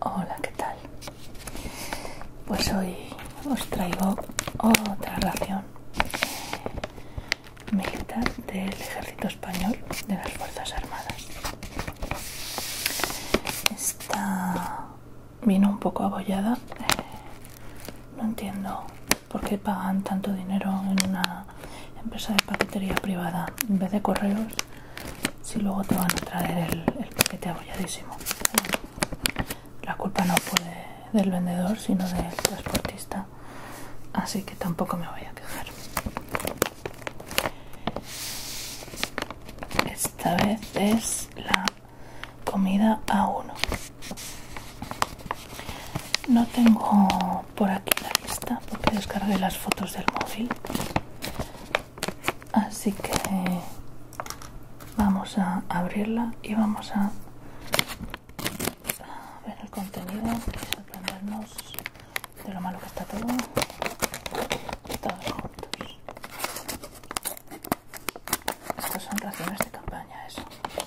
Hola, ¿qué tal? Pues hoy os traigo otra ración militar del ejército español de las Fuerzas Armadas. Esta vino un poco abollada. No entiendo por qué pagan tanto dinero en una empresa de paquetería privada en vez de correos si luego te van a traer el, paquete abolladísimo. La culpa no puede del vendedor, sino del transportista. Así que tampoco me voy a quejar. Esta vez es la comida a uno. No tengo por aquí la lista porque descargué las fotos del móvil así que vamos a abrirla y vamos a ver el contenido y sorprendernos de lo malo que está todo todos juntos estas son raciones de campaña eso ya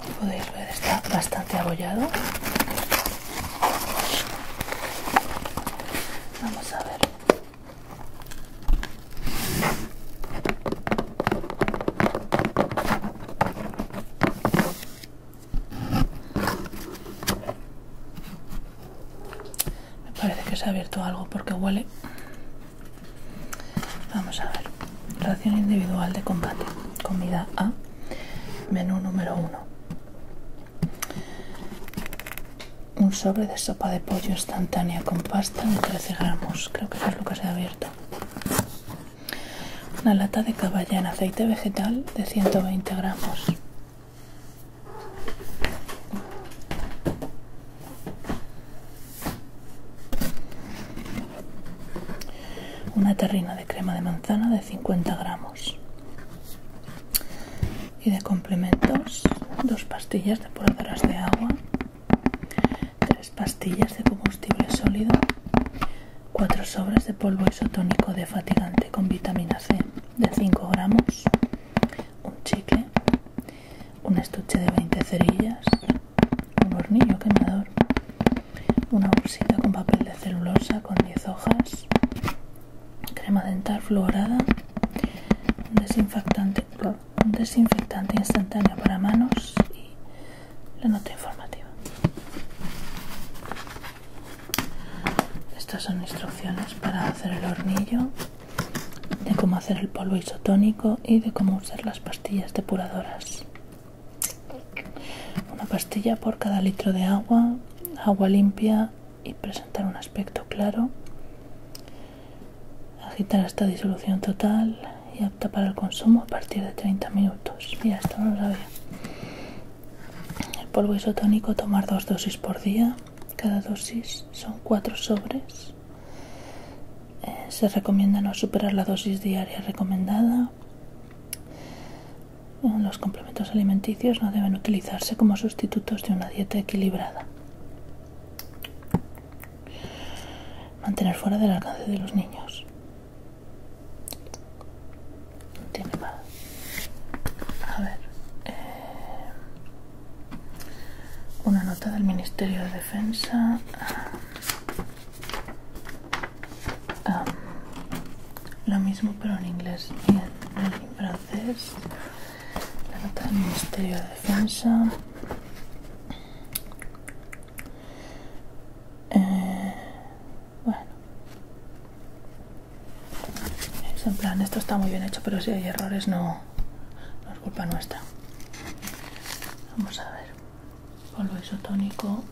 Como podéis ver está bastante abollado. Vamos a ver. Me parece que se ha abierto algo porque huele Vamos a ver. Ración individual de combate. Comida A. Menú número 1. Un sobre de sopa de pollo instantánea con pasta de 13 gramos. Creo que es lo que se ha abierto. Una lata de caballa en aceite vegetal de 120 gramos. Una terrina de crema de manzana de 50 gramos. Y de complementos, dos pastillas de de agua, tres pastillas de combustible sólido, cuatro sobres de polvo isotónico de fatigante con vitamina C de 5 gramos, un chicle, un estuche de 20 cerillas, un hornillo quemador, una bolsita con papel de celulosa con 10 hojas, crema dental fluorada, un desinfectante, un desinfectante instantáneo para manos y la nota informativa. Estas son instrucciones para hacer el hornillo de cómo hacer el polvo isotónico y de cómo usar las pastillas depuradoras. Una pastilla por cada litro de agua, agua limpia y presentar un aspecto claro. Agitar hasta disolución total y apta para el consumo a partir de 30 minutos. Mira, esto no lo sabía. El polvo isotónico tomar dos dosis por día. Cada dosis son cuatro sobres eh, se recomienda no superar la dosis diaria recomendada. Eh, los complementos alimenticios no deben utilizarse como sustitutos de una dieta equilibrada. Mantener fuera del alcance de los niños. No tiene A ver. Eh, una nota del Ministerio de Defensa. Ah, ah, lo mismo pero en inglés y en, francés. La nota del Ministerio de Defensa. Eh, bueno. Es en plan, esto está muy bien hecho, pero si hay errores no, no, es culpa nuestra. Vamos a ver, polvo isotónico.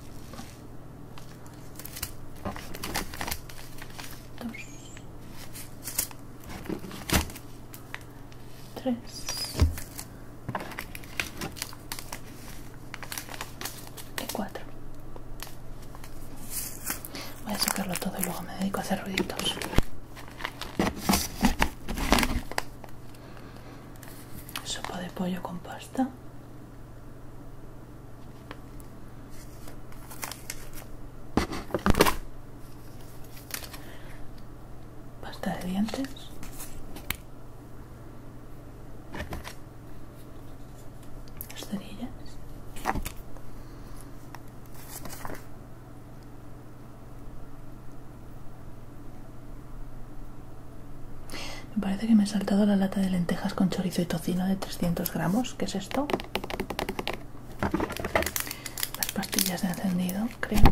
Dos. Tres. Y cuatro. Voy a sacarlo todo y luego me dedico a hacer ruiditos. Sopa de pollo con pasta. Pasta de dientes. Me parece que me he saltado la lata de lentejas con chorizo y tocino de 300 gramos. ¿Qué es esto? Las pastillas de encendido, creo.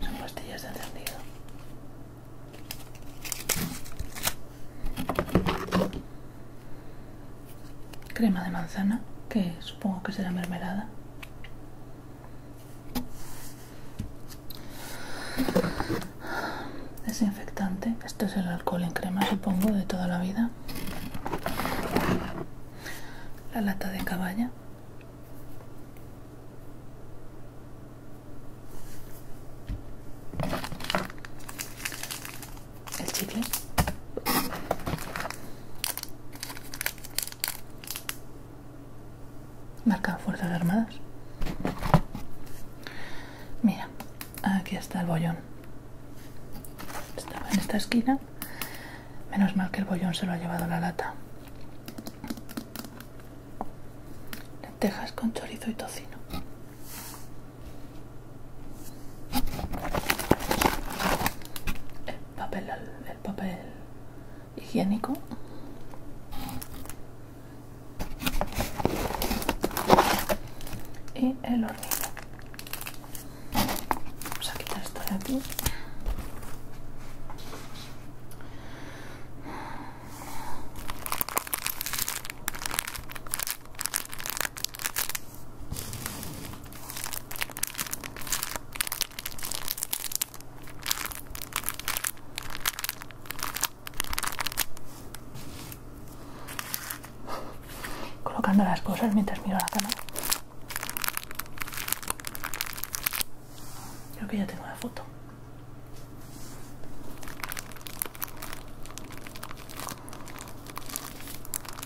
son pastillas de encendido crema de manzana, que supongo que será mermelada. Desinfectante, esto es el alcohol en crema, supongo, de toda la vida. La lata de caballa el chicle marcan fuerzas armadas mira aquí está el bollón estaba en esta esquina menos mal que el bollón se lo ha llevado la lata lentejas con chorizo y tocino el papel, el papel higiénico y el horno Vamos a quitar esto de aquí colocando las cosas mientras miro la cámara. Creo que ya tengo la foto.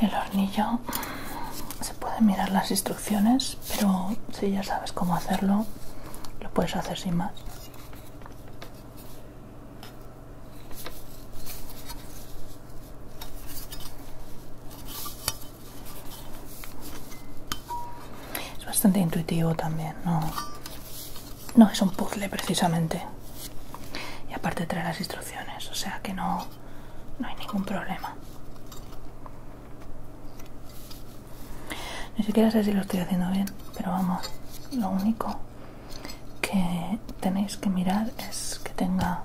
El hornillo se pueden mirar las instrucciones, pero si ya sabes cómo hacerlo, lo puedes hacer sin más. Es bastante intuitivo también, no, no es un puzzle precisamente. Y aparte trae las instrucciones o sea que no, no hay ningún problema. Ni siquiera sé si lo estoy haciendo bien, pero vamos, lo único que tenéis que mirar es que tenga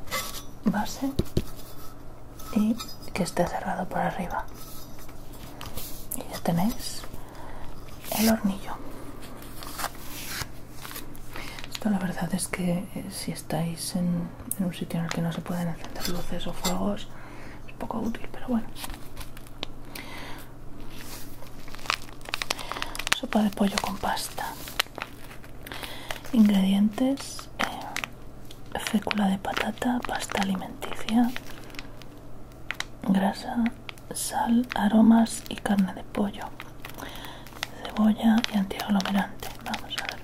base y que esté cerrado por arriba. Y ya tenéis el hornillo. Esto la verdad es que eh, si estáis en, un sitio en el que no se pueden encender luces o fuegos, es poco útil, pero bueno. Sopa de pollo con pasta. Ingredientes. Eh, fécula de patata, pasta alimenticia, grasa, sal, aromas y carne de pollo cebolla y antiaglomerante. Vamos a ver.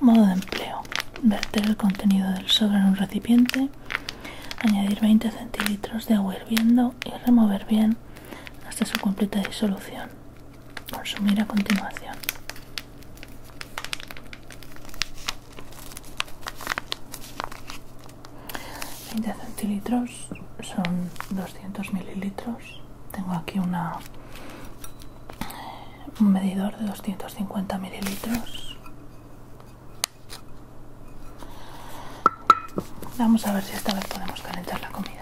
Modo de empleo. Verter el contenido del sobre en un recipiente. Añadir 20 centilitros de agua hirviendo y remover bien hasta su completa disolución. Consumir a continuación. 20 centilitros son 200 mililitros tengo aquí una un medidor de 250 mililitros vamos a ver si esta vez podemos calentar la comida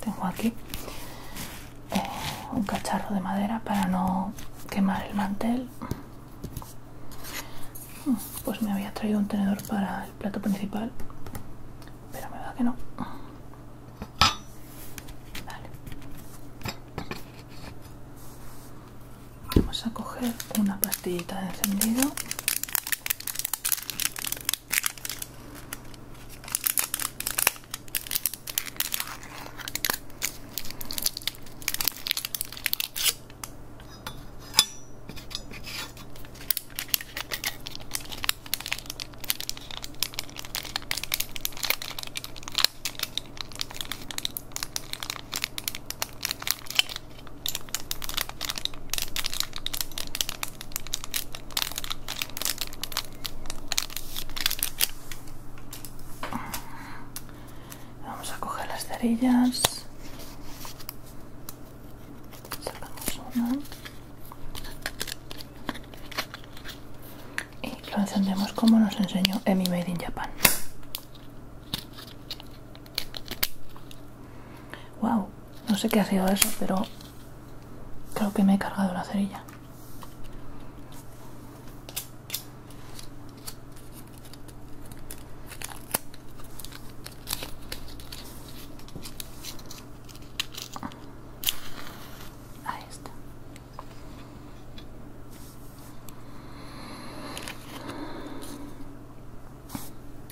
tengo aquí eh, un cacharro de madera para no quemar el mantel. Mm, pues me había traído un tenedor para el plato principal, pero me da que no. Vale vamos a coger una pastillita de encendido Vamos a coger las cerillas. Y lo encendemos como nos enseñó Emmy Made in Japan. Wow, no sé qué ha sido eso, pero creo que me he cargado la cerilla.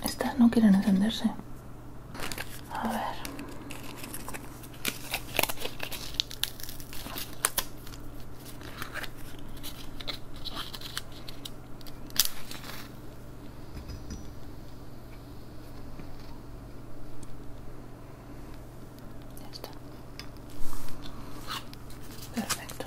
Estas no quieren encenderse. A ver. Perfecto.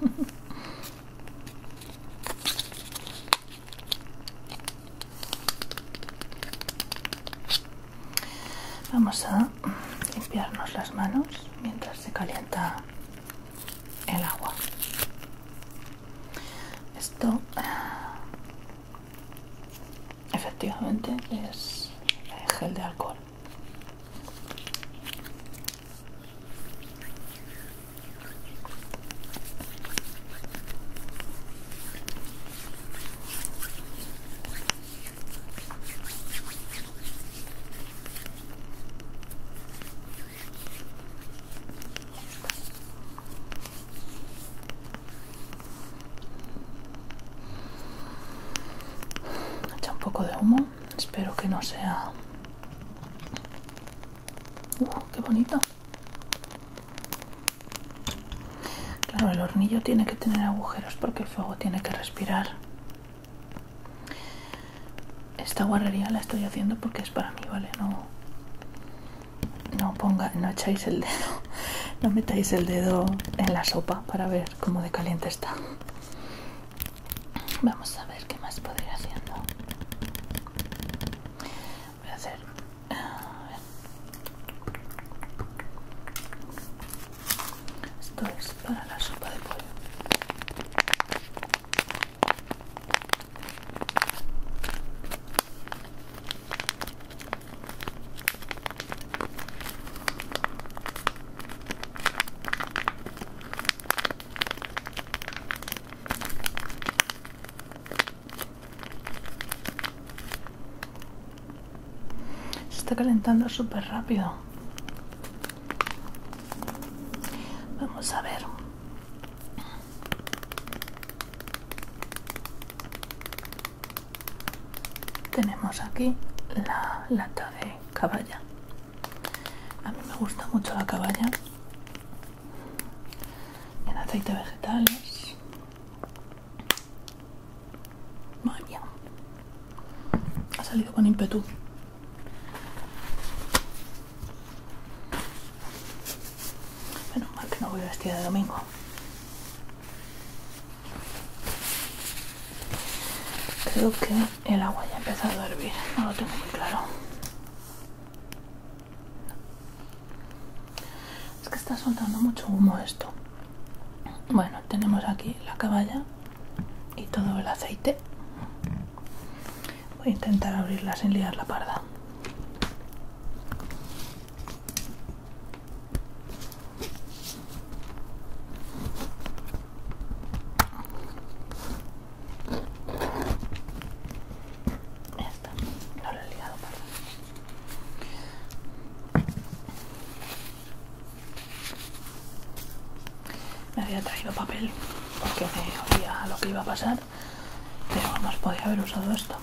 Vamos a limpiarnos las manos mientras se calienta el agua. Esto efectivamente es gel de alcohol Echa un poco de humo, espero que no sea... ¡Uf, qué bonito! Claro, el hornillo tiene que tener agujeros porque el fuego tiene que respirar. Esta guarrería la estoy haciendo porque es para mí, ¿vale? No, no ponga, no echáis el dedo, no metáis el dedo en la sopa para ver cómo de caliente está. Vamos a ver qué más podría ir haciendo. Voy a hacer. Ah, esto es para la sopa de pollo. Se está calentando súper rápido. Vamos a ver tenemos aquí la lata de caballa a mí me gusta mucho la caballa en aceite vegetales vaya ha salido con ímpetu Menos mal que no voy vestir de domingo. Creo que el agua ya ha empezado a hervir, no lo tengo muy claro. Es que está soltando mucho humo esto. Bueno, tenemos aquí la caballa y todo el aceite. Voy a intentar abrirla sin liar la parda he ligado, Me había traído papel porque me oía lo que iba a pasar, pero os podía haber usado esto.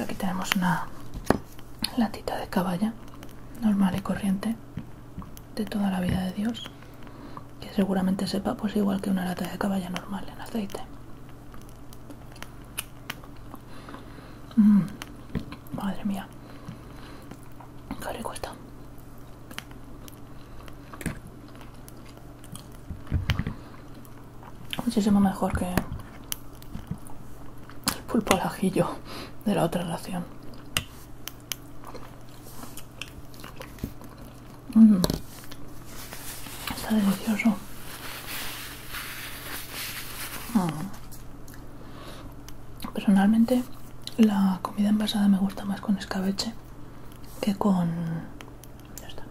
Aquí tenemos una latita de caballa normal y corriente de toda la vida de Dios que seguramente sepa pues igual que una lata de caballa normal en aceite. Mm, madre mía, qué rico está. Muchísimo mejor que el pulpo al ajillo de la otra ración. Mm. Está delicioso. Mm. Personalmente la comida envasada me gusta más con escabeche que con ya está.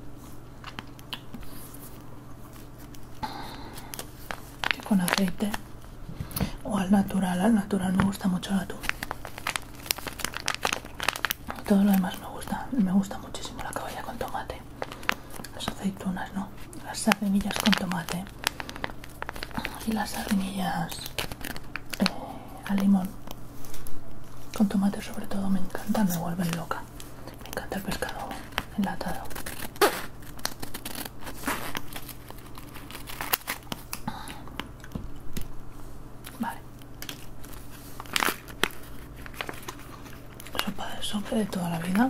con aceite o al natural al natural me gusta mucho el atún todo lo demás me gusta me gusta muchísimo la caballa con tomate las aceitunas no las sardinillas con tomate y las sardinillas eh, al limón con tomate sobre todo me encanta me vuelven loca me encanta el pescado enlatado vale sopa de sopa de toda la vida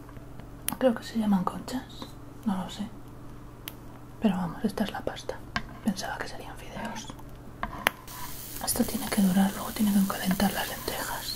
Creo que se llaman conchas, no lo sé. Pero vamos, esta es la pasta. Pensaba que serían fideos. Esto tiene que durar, luego tiene que calentar las lentejas.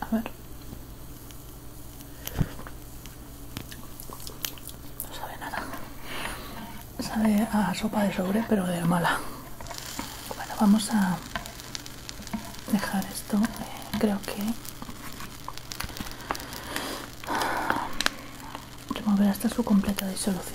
A ver. No sabe nada. Sabe a sopa de sobre, pero de mala. Bueno, vamos a dejar esto. Eh, creo que remover hasta su completa disolución.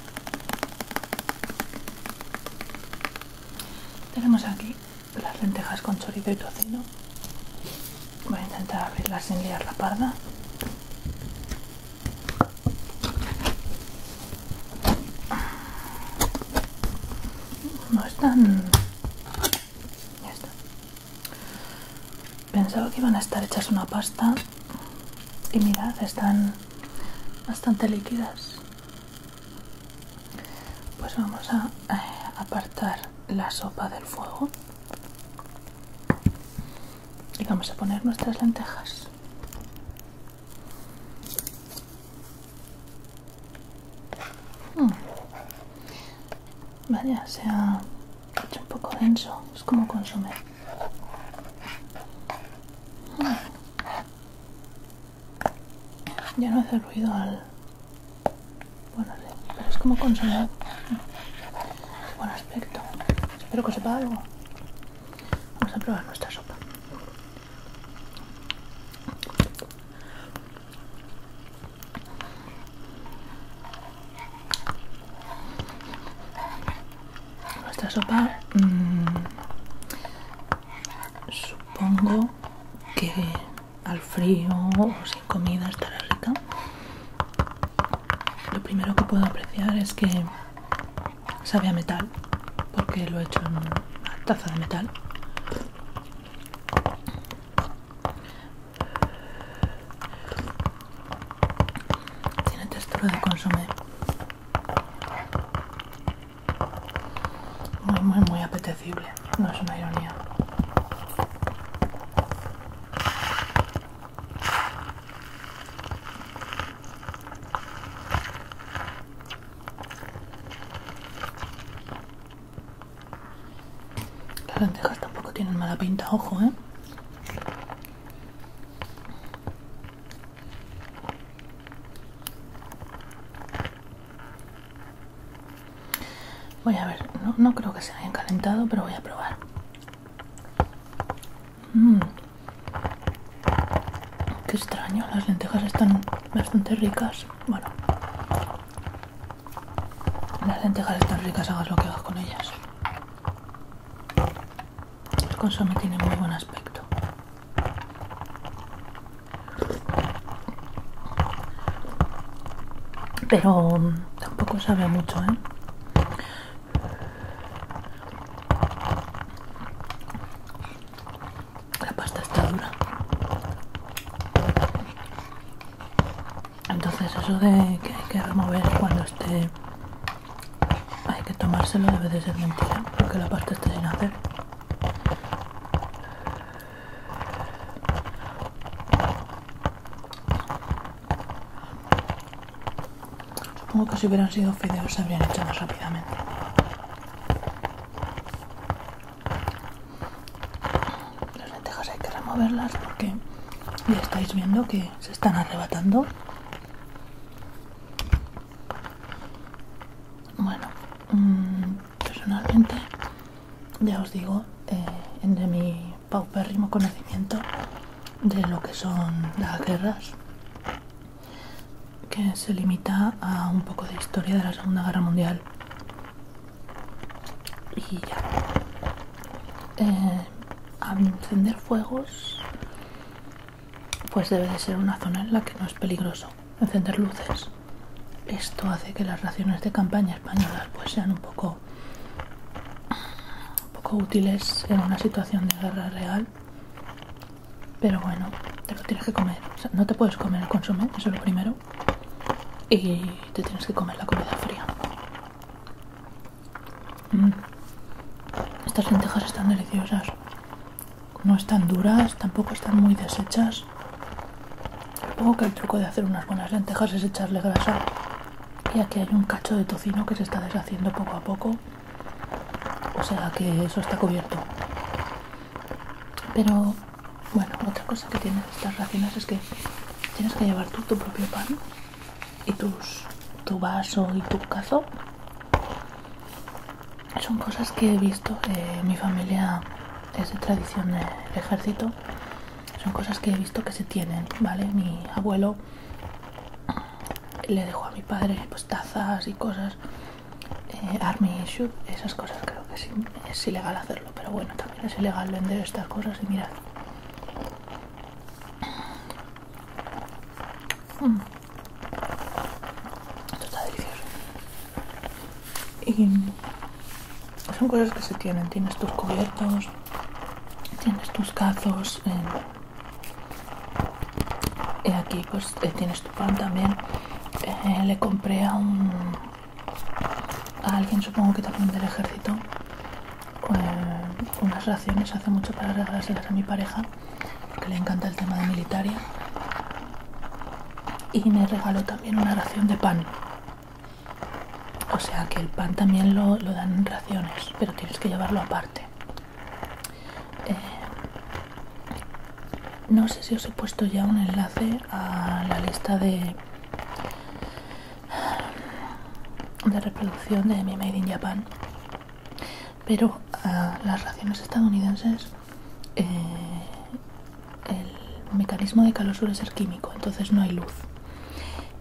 Tenemos aquí las lentejas con chorizo y tocino. Voy a intentar abrirlas sin liar la parda. No están... Ya Pensaba que iban a estar hechas una pasta y mirad, están bastante líquidas pues vamos a eh, apartar la sopa del fuego y vamos a poner nuestras lentejas hmm. vaya se ha hecho un poco denso es como consume ya no hace ruido al... Bueno, pero es como consolado. Buen aspecto. Espero que sepa algo. Vamos a probar nuestra sopa. Nuestra sopa mm, supongo que al frío o sin comida estará rica. Lo primero que puedo apreciar es que sabe a metal, porque lo he hecho en una taza de metal. Tiene textura de consumir. Muy, muy, muy apetecible. No es una ironía. Las lentejas tampoco tienen mala pinta, ojo, ¿eh? Voy a ver, no, creo que se hayan calentado, pero voy a probar. Mm. Qué extraño, las lentejas están bastante ricas. Bueno, las lentejas están ricas, hagas lo que hagas con ellas. El consomé tiene muy buen aspecto. Pero mm, tampoco sabe mucho, ¿eh? La pasta está dura. Entonces eso de que hay que remover cuando esté hay que tomárselo, de vez en mentira, porque la parte está sin hacer. Supongo que si hubieran sido fideos se habrían hecho más rápidamente. Las lentejas hay que removerlas porque ya estáis viendo que se están arrebatando bueno, mm, personalmente, ya os digo, eh, entre mi paupérrimo conocimiento de lo que son las guerras, que se limita a un poco de historia de la Segunda Guerra Mundial. Y ya. Al eh, a encender fuegos pues debe de ser una zona en la que no es peligroso encender luces. Esto hace que las raciones de campaña españolas pues sean un poco, poco útiles en una situación de guerra real. Pero bueno, te lo tienes que comer. no te puedes comer el consumo, eso es lo primero. Y te tienes que comer la comida fría. Mm. Estas lentejas están deliciosas. No están duras, tampoco están muy deshechas. Supongo que el truco de hacer unas buenas lentejas es echarle grasa. Y aquí hay un cacho de tocino que se está deshaciendo poco a poco. O sea que eso está cubierto. Pero bueno, otra cosa que tienen estas racinas es que tienes que llevar tú tu propio pan y tus, tu vaso y tu cazo son cosas que he visto eh, mi familia es de tradición del ejército son cosas que he visto que se tienen vale mi abuelo le dejó a mi padre pues tazas y cosas eh, army shoot esas cosas creo que es ilegal hacerlo pero bueno también es ilegal vender estas cosas y mirad esto está delicioso. Y son cosas que se tienen. Tienes tus cubiertos, tienes tus cazos. Eh, y aquí pues eh, tienes tu pan también. Eh, le compré a un... a alguien supongo que también del ejército con pues, unas raciones hace mucho para regalárselas a mi pareja, porque le encanta el tema de militaria. Y me regaló también una ración de pan. O sea que el pan también lo, dan en raciones, pero tienes que llevarlo aparte. Eh, no sé si os he puesto ya un enlace a la lista de, de reproducción de mi Made in Japan pero a ah, las raciones estadounidenses eh, el mecanismo de calor es ser químico, entonces no hay luz.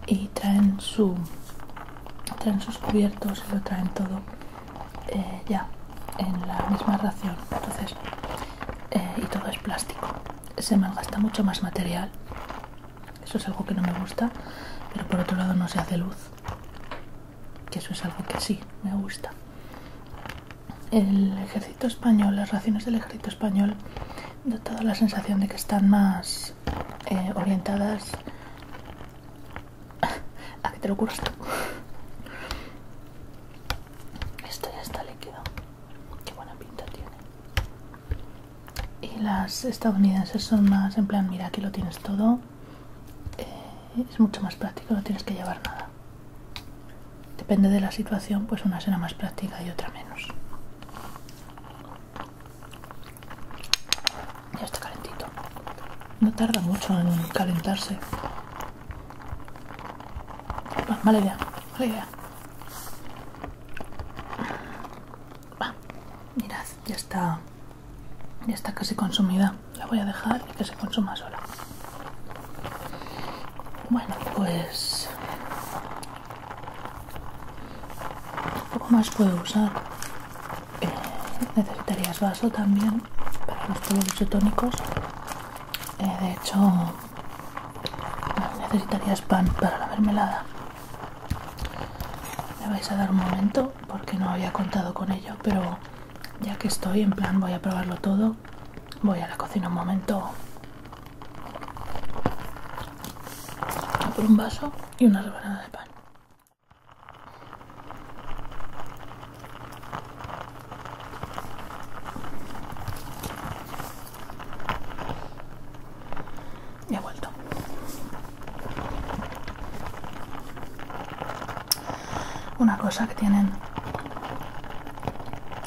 Y traen, su, traen sus cubiertos y lo traen todo eh, ya en la misma ración. Entonces, eh, y todo es plástico. Se malgasta mucho más material eso es algo que no me gusta, pero por otro lado no se hace luz. Que eso es algo que sí me gusta. El ejército español, las raciones del ejército español, da toda la sensación de que están más eh, orientadas a que te lo curas Esto ya está líquido. Qué buena pinta tiene y las estadounidenses son más en plan mira aquí lo tienes todo eh, es mucho más práctico no tienes que llevar nada depende de la situación pues una será más práctica y otra menos ya está calentito no tarda mucho en calentarse vale idea idea mirad ya está ya está casi consumida. La voy a dejar y que se consuma sola. Bueno, pues... Poco más puedo usar. Eh, necesitarías vaso también para los productos isotónicos. Eh, de hecho, necesitarías pan para la mermelada. Me vais a dar un momento porque no había contado con ello, pero ya que estoy en plan voy a probarlo todo, voy a la cocina un momento a por un vaso y una rebanada de pan. Y he vuelto. Una cosa que tienen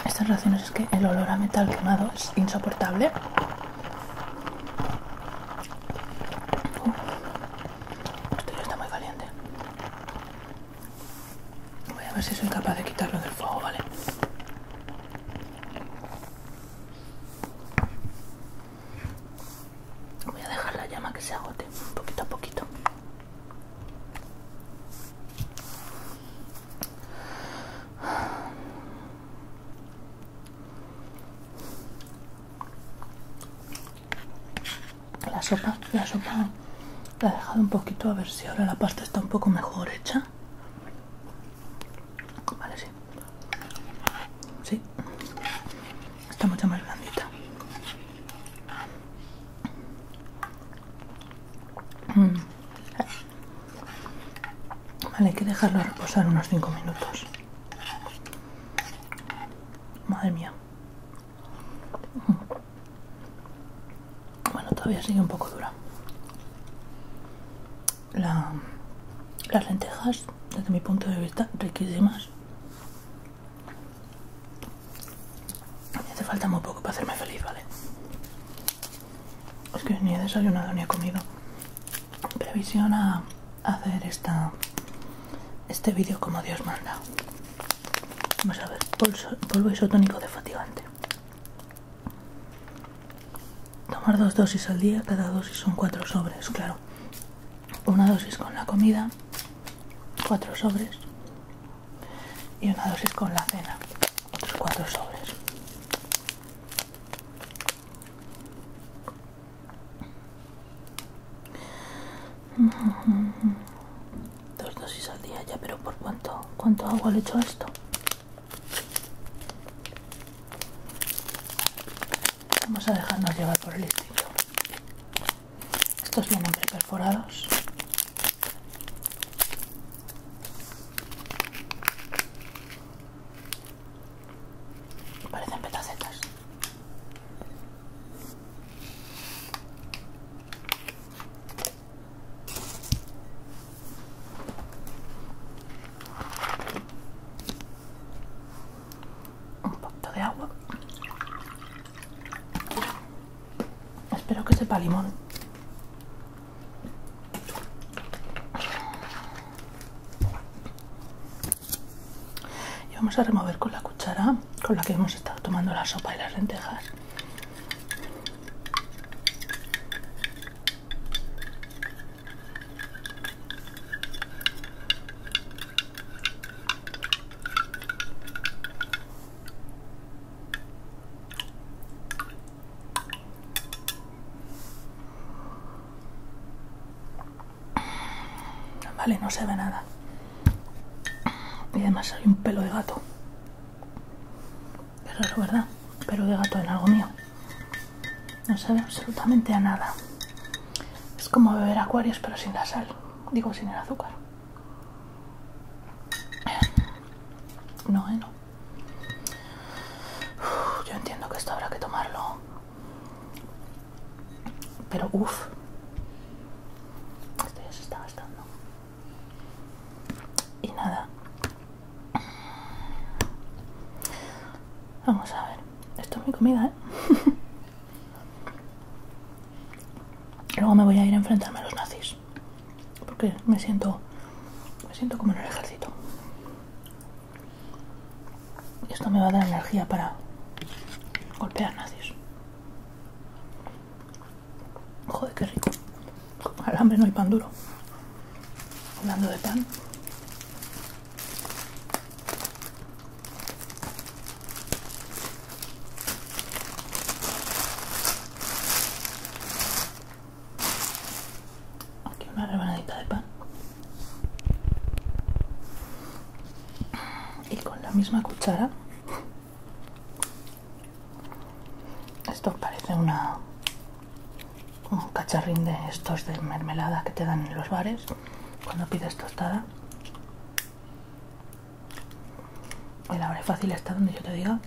estas relaciones es que el olor a metal quemado es insoportable. Este ya está muy caliente. Voy a ver si soy capaz de quitarlo del fuego, ¿vale? Voy a dejar la llama que se agote un poquito a poquito. La sopa, la sopa la he dejado un poquito a ver si ahora la pasta está un poco mejor hecha. Vale, sí. Sí. Está mucho más blandita. Mm. Vale, hay que dejarlo reposar unos 5 minutos. Madre mía. Bueno, todavía sigue un poco dura las lentejas, desde mi punto de vista, riquísimas. Me hace falta muy poco para hacerme feliz, ¿vale? Es que ni he desayunado ni he comido. Previsión a hacer esta este vídeo como Dios manda. Vamos a ver, polvo isotónico de fatigante. Tomar dos dosis al día, cada dosis son cuatro sobres, claro. Una dosis con la comida, cuatro sobres. Y una dosis con la cena, otros cuatro sobres. Dos dosis al día ya, pero ¿por cuánto, cuánto agua le hecho esto? Vamos a dejarnos llevar por el estilo. Estos vienen perforados. Parecen petacetas un poquito de agua espero que sepa limón y vamos a remover con la cuchara con la que hemos estado tomando la sopa y las lentejas Vale, no se ve nada. Y además hay un pelo de gato. pero raro, ¿verdad? Pelo de gato en algo mío. No sabe absolutamente a nada. Es como beber acuarios pero sin la sal. Digo, sin el azúcar. No, eh, no. yo entiendo que esto habrá que tomarlo. Pero, uff. Esto ya se está gastando. Y nada. Vamos a ver. Esto es mi comida, ¿eh? Luego me voy a ir a enfrentarme a los nazis. Porque me siento. Me siento como en el ejército. Y esto me va a dar energía para golpear nazis. Joder, qué rico. Al hambre no hay pan duro. Hablando de pan. Aquí una rebanadita de pan. Y con la misma cuchara. Esto parece una un cacharrín de estos de mermelada que te dan en los bares cuando pides tostada. El abre fácil está donde yo te diga.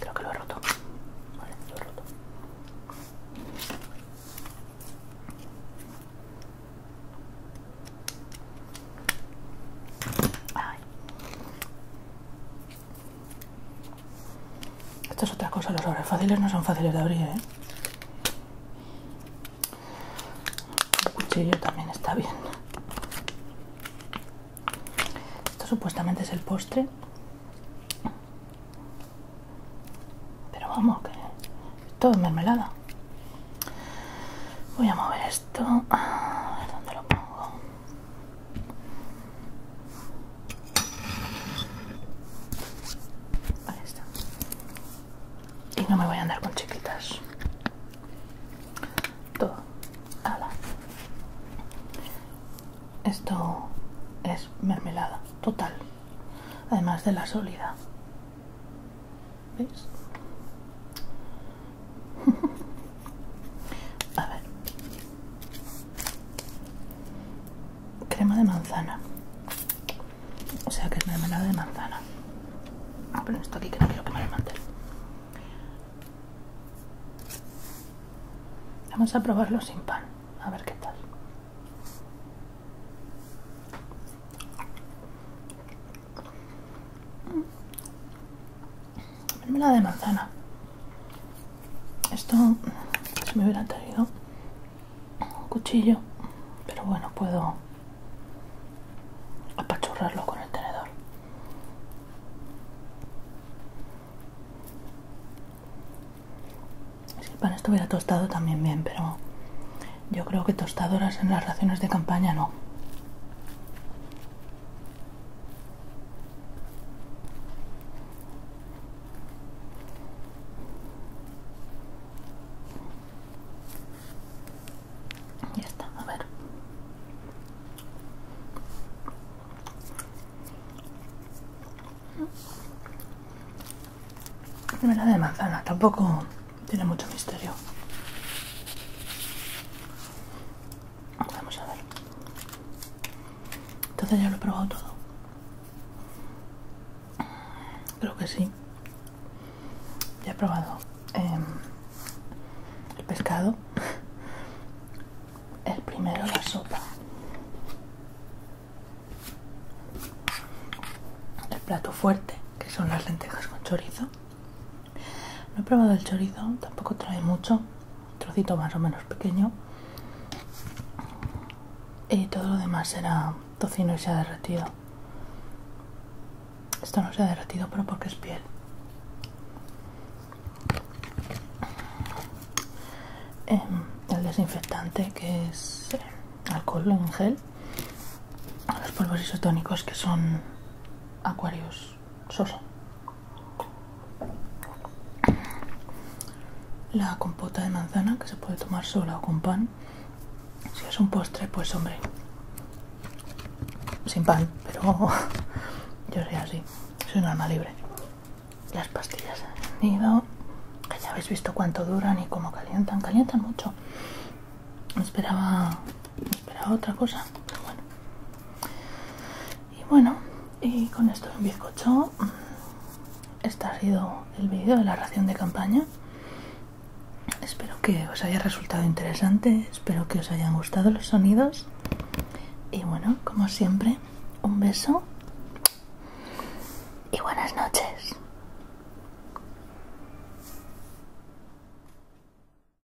Creo que lo he roto. lo he roto. Esto es otra cosa, los sobres fáciles no son fáciles de abrir, ¿eh? El cuchillo también está bien. Esto supuestamente es el postre. Pero vamos, que todo es mermelada. Voy a mover esto. A ver dónde lo pongo está. Y no me voy a andar con chiquitas. Todo. Esto es mermelada total. Además de la sólida. ¿Veis? A ver. Crema de manzana. O sea que es mermelada de manzana. Ah, pero esto aquí que no quiero que el mantel. Vamos a probarlo sin pan. A ver qué tal la de manzana esto se me hubiera traído un cuchillo pero bueno puedo apachurrarlo con el tenedor que el pan estuviera tostado también bien pero yo creo que tostadoras en las raciones de campaña no ya está, a ver. Primera de manzana, tampoco tiene mucho misterio. Vamos a ver. Entonces ya lo he probado todo. Creo que sí. Ya he probado em, el pescado. El primero la sopa. El plato fuerte, que son las lentejas con chorizo. No he probado el chorizo, tampoco trae mucho, un trocito más o menos pequeño. Y todo lo demás era tocino y se ha derretido. Esto no se ha derretido, pero porque es piel. Em, el desinfectante que es eh, alcohol en gel. Los polvos isotónicos que son acuarios sosa. La compota de manzana que se puede tomar sola o con pan. Si es un postre, pues hombre, sin pan, pero yo soy así, soy un alma libre. Las pastillas nido, que ya habéis visto cuánto duran y cómo calientan, calientan mucho. Esperaba esperaba otra cosa, pero bueno. Y bueno, y con esto un bizcocho. Mm, este ha sido el vídeo de la ración de campaña. Espero que os haya resultado interesante, espero que os hayan gustado los sonidos. Y bueno, como siempre, un beso y buenas noches.